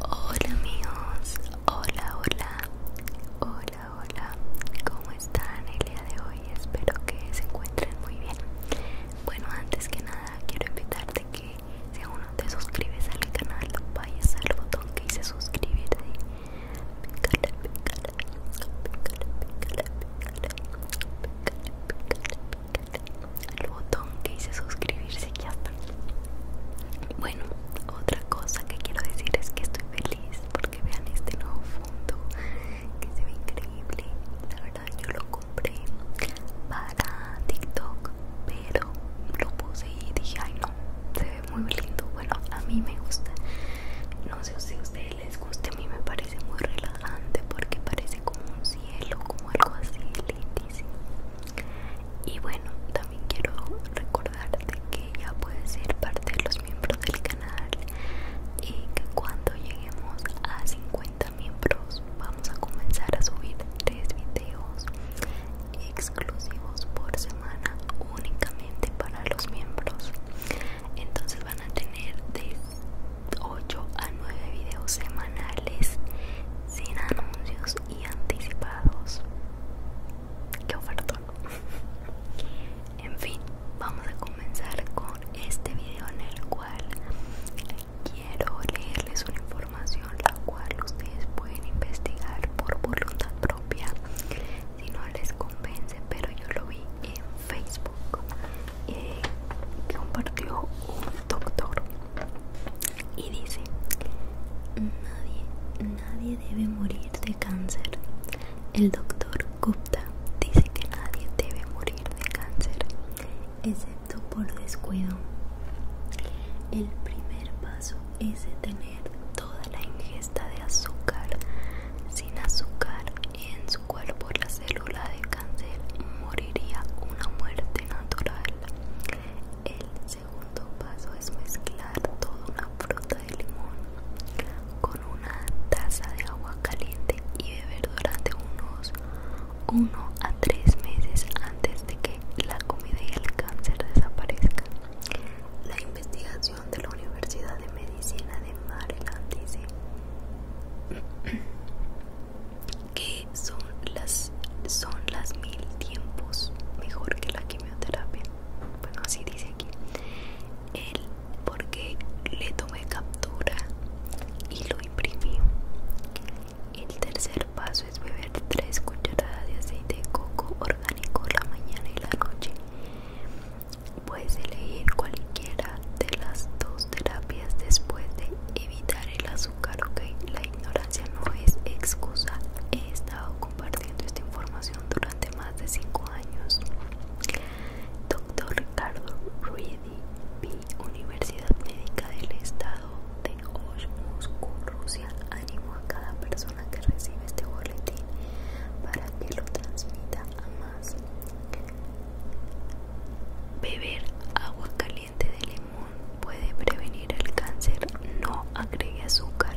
Hola amigos, hola, hola, hola, hola, ¿cómo están el día de hoy? Espero que se encuentren muy bien. Bueno, antes que nada quiero invitarte que si aún no te suscribes al canal, vayas al botón que dice suscribirte al botón que dice suscribirse ya está bueno otra cosa que quiero decir es que estoy feliz porque vean este nuevo fondo que se ve increíble la verdad yo lo compré para tiktok pero lo puse y dije ay no se ve muy lindo bueno a mí me gusta no sé si a ustedes les guste a mí me parece muy relajante porque parece como un cielo, como algo así lindísimo. Y bueno, también quiero recordarte que ya puedes ser parte de los miembros del canal y que cuando lleguemos a 50 miembros vamos a comenzar a subir tres videos exclusivos por semana únicamente para los miembros. Entonces van a tener tres 8 a 9 videos semanales sin anuncios y anticipados. Qué ofertón. en fin, vamos a comenzar con este video en el cual quiero leerles una información la cual ustedes pueden investigar por voluntad propia si no les convence, pero yo lo vi en Facebook que eh, compartió un doctor y dice nadie nadie debe morir de cáncer el doctor Gupta dice que nadie debe morir de cáncer excepto por descuido el primer paso es detener toda la ingesta de azúcar sin azúcar en su cuerpo la célula de cáncer moriría una muerte natural. El segundo paso es mezclar toda una fruta de limón con una taza de agua caliente y beber durante unos 1 a 3 meses antes de que la comida y el cáncer desaparezcan. La investigación de la Universidad de Medicina de Maryland dice que son las son las mil tiempos mejor que la quimioterapia bueno así dice aquí él porque le tomé captura y lo imprimí el tercer paso es beber tres cucharadas de aceite de coco orgánico la mañana y la noche Puedes elegir cualquiera de las dos terapias después de evitar el azúcar, ok. La ignorancia no es excusa. He estado compartiendo esta información durante más de 5 años. Doctor Ricardo Ruidi, Universidad Médica del Estado de Osh, Rusia. Animo a cada persona que recibe este boletín para que lo transmita a más beber agua caliente de limón puede prevenir el cáncer no agregue azúcar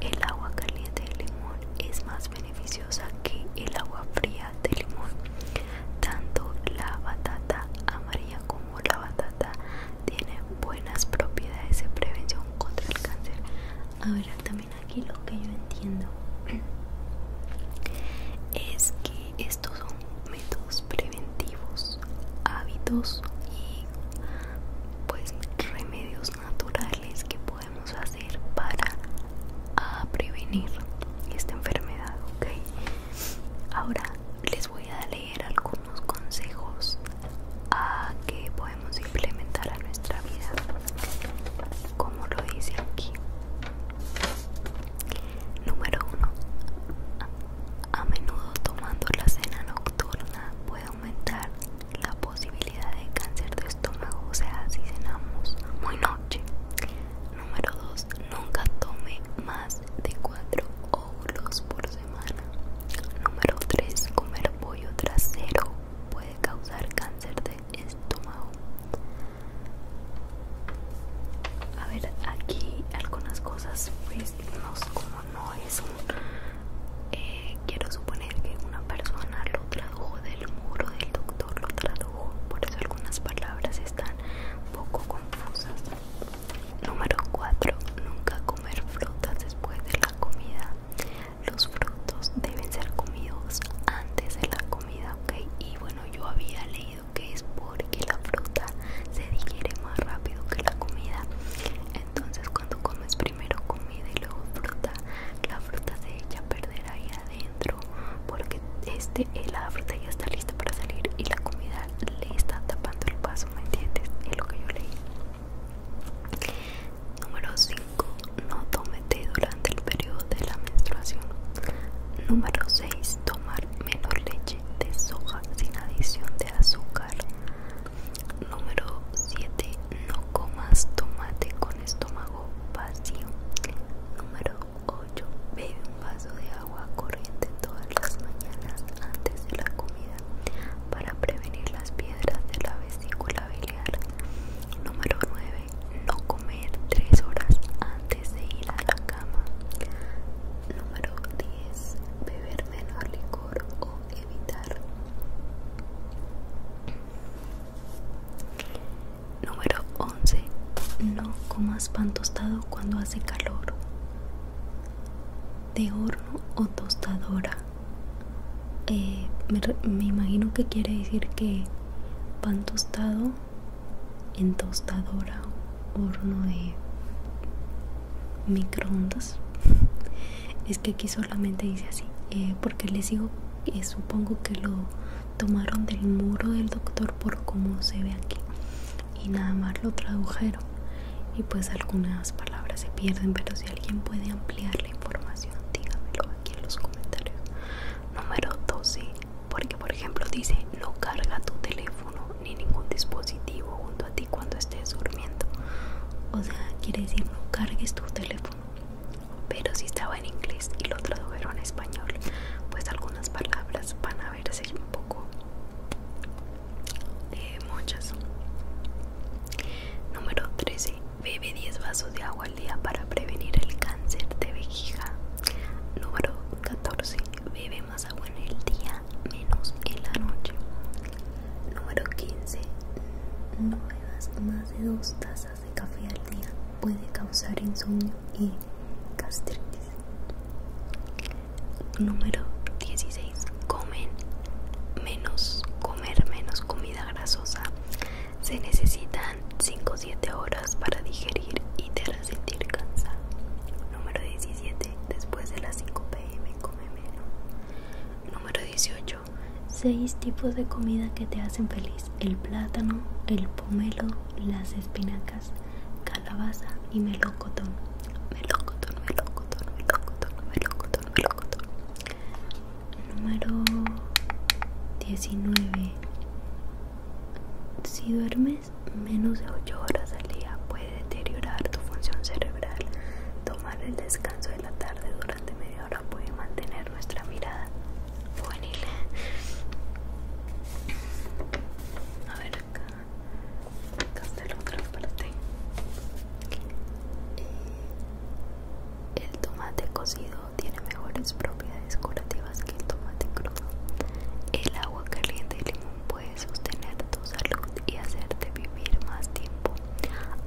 el agua caliente de limón es más beneficiosa que el agua fría de limón tanto la batata amarilla como la batata tienen buenas propiedades de prevención contra el cáncer ver también aquí lo que yo entiendo es que estos son métodos preventivos, hábitos y pues remedios naturales que podemos hacer para ah, prevenir esta enfermedad, ¿ok? Ahora les voy a leer algunos consejos a ah, que podemos implementar a nuestra vida como lo dice aquí número 1 a menudo tomando la cena nocturna puede aumentar la posibilidad de cáncer de estómago o sea si cenamos muy noche número 2 nunca tome más de cuatro óvulos por semana número 3 comer pollo trasero puede causar cáncer de estómago a ver aquí algunas cosas pues como no es eh, quiero suponer que una persona lo tradujo del muro del doctor lo tradujo por eso algunas palabras están poco confusas número 4 nunca comer frutas después de la comida los frutos deben ser comidos antes de la comida, ok. Y bueno, yo había leído que es porque la fruta se digiere más rápido que la comida. Entonces, cuando comes primero comida y luego fruta, la fruta se echa a perder ahí adentro porque este, eh, la fruta ya está lista para salir y la comida le está tapando el paso, ¿me entiendes? Es lo que yo leí. Número 5. No tome durante el periodo de la menstruación. Número 6. Tomar menos leche de soja sin adición de azúcar. Número 7. No comas tomate con estómago vacío. Número 8. Bebe un vaso de agua corriente todas las mañanas antes de la comida para prevenir las piedras de la vesícula biliar. Número 9. No comer 3 horas antes de ir a la cama. Número 10. Beber menos licor o evitar. Número 11. No comas pan tostado cuando hace calor. De horno o tostadora. Eh, me, imagino que quiere decir que pan tostado en tostadora horno de microondas es que aquí solamente dice así eh, porque les digo que supongo que lo tomaron del muro del doctor por como se ve aquí y nada más lo tradujeron y pues algunas palabras se pierden pero si alguien puede ampliar la información dígamelo aquí en los comentarios número 12 porque por ejemplo dice no carga tu teléfono ni ningún dispositivo junto a ti cuando estés durmiendo o sea quiere decir no cargues tu teléfono pero si estaba en inglés y lo tradujeron en español pues algunas palabras van a verse un poco de muchas. Número 13. Bebe 10 vasos de agua al día para prevenir el cáncer de vejiga. Número 14. Bebe más agua en el día, menos en la noche. Número 15. No bebas más de 2 tazas de café al día. Puede causar insomnio y gastritis. Número 16. Comen menos, comer menos comida grasosa. Se necesitan 5 o 7 horas para digerir y te harás sentir cansado. Número 17. Después de las 5 pm come menos. Número 18. 6 tipos de comida que te hacen feliz. El plátano, el pomelo, las espinacas, calabaza y melocotón. Me me me loco, loco, loco, melocotón, me loco, melocotón. Número 19. Si duermes menos de 8 horas al día, puede deteriorar tu función cerebral. Tomar el descanso de la tarde durante media hora puede mantener nuestra mirada juvenil. A ver acá el tomate cocido tiene mejores propiedades curativas que el tomate crudo el agua caliente de limón puede sostener tu salud y hacerte vivir más tiempo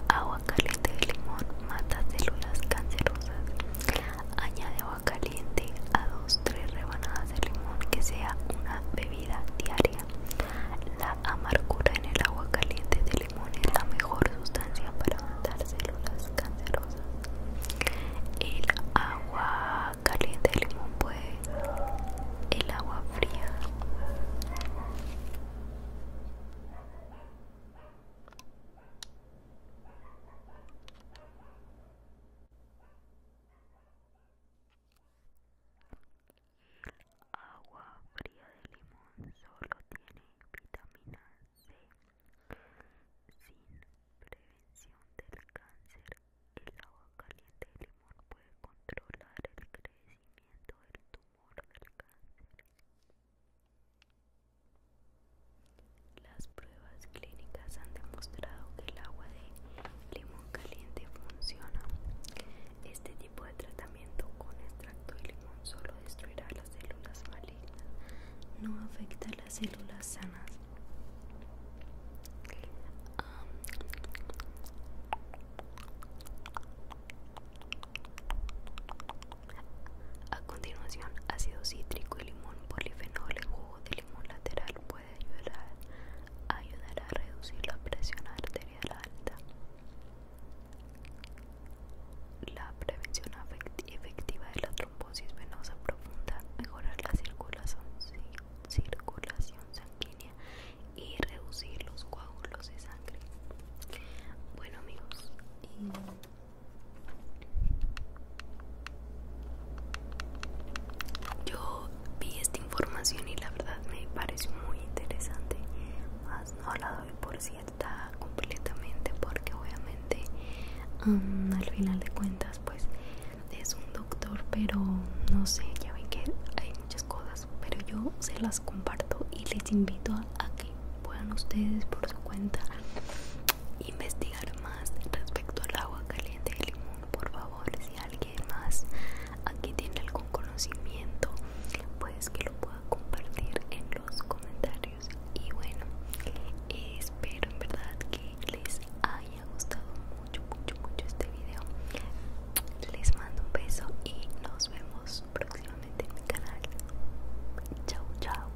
agua caliente de limón mata células cancerosas añade agua caliente a 2-3 rebanadas de limón que sea una bebida vida diaria. La amargura en el agua caliente de limón es la mejor sustancia para matar células cancerosas. El agua caliente de limón puede. El agua fría. El Agua fría de limón solo tiene vitamina C. Sin prevención del cáncer, el agua caliente de limón puede controlar el crecimiento del tumor del cáncer. Las pruebas clínicas han demostrado que el agua de limón caliente funciona. Este tipo de tratamiento con extracto de limón solo destruirá las células malignas, no afecta las células sanas. a continuación, ácido cítrico y limón polifenol jugo de limón lateral puede ayudar, a reducir la presión arterial alta. La prevención efectiva de la trombosis venosa profunda, mejorar la circulación, circulación sanguínea y reducir los coágulos de sangre. Bueno amigos, yo vi esta información y la verdad me pareció muy interesante, más no la doy por cierta completamente porque obviamente mm, al final de cuentas pues es un doctor, pero no sé, ya ven que hay muchas cosas, pero yo se las comparto y les invito a que puedan ustedes por su cuenta investigar más respecto al agua caliente del limón por favor si alguien más aquí tiene algún conocimiento pues que lo pueda compartir en los comentarios y bueno espero en verdad que les haya gustado mucho mucho mucho este video les mando un beso y nos vemos próximamente en mi canal chao chao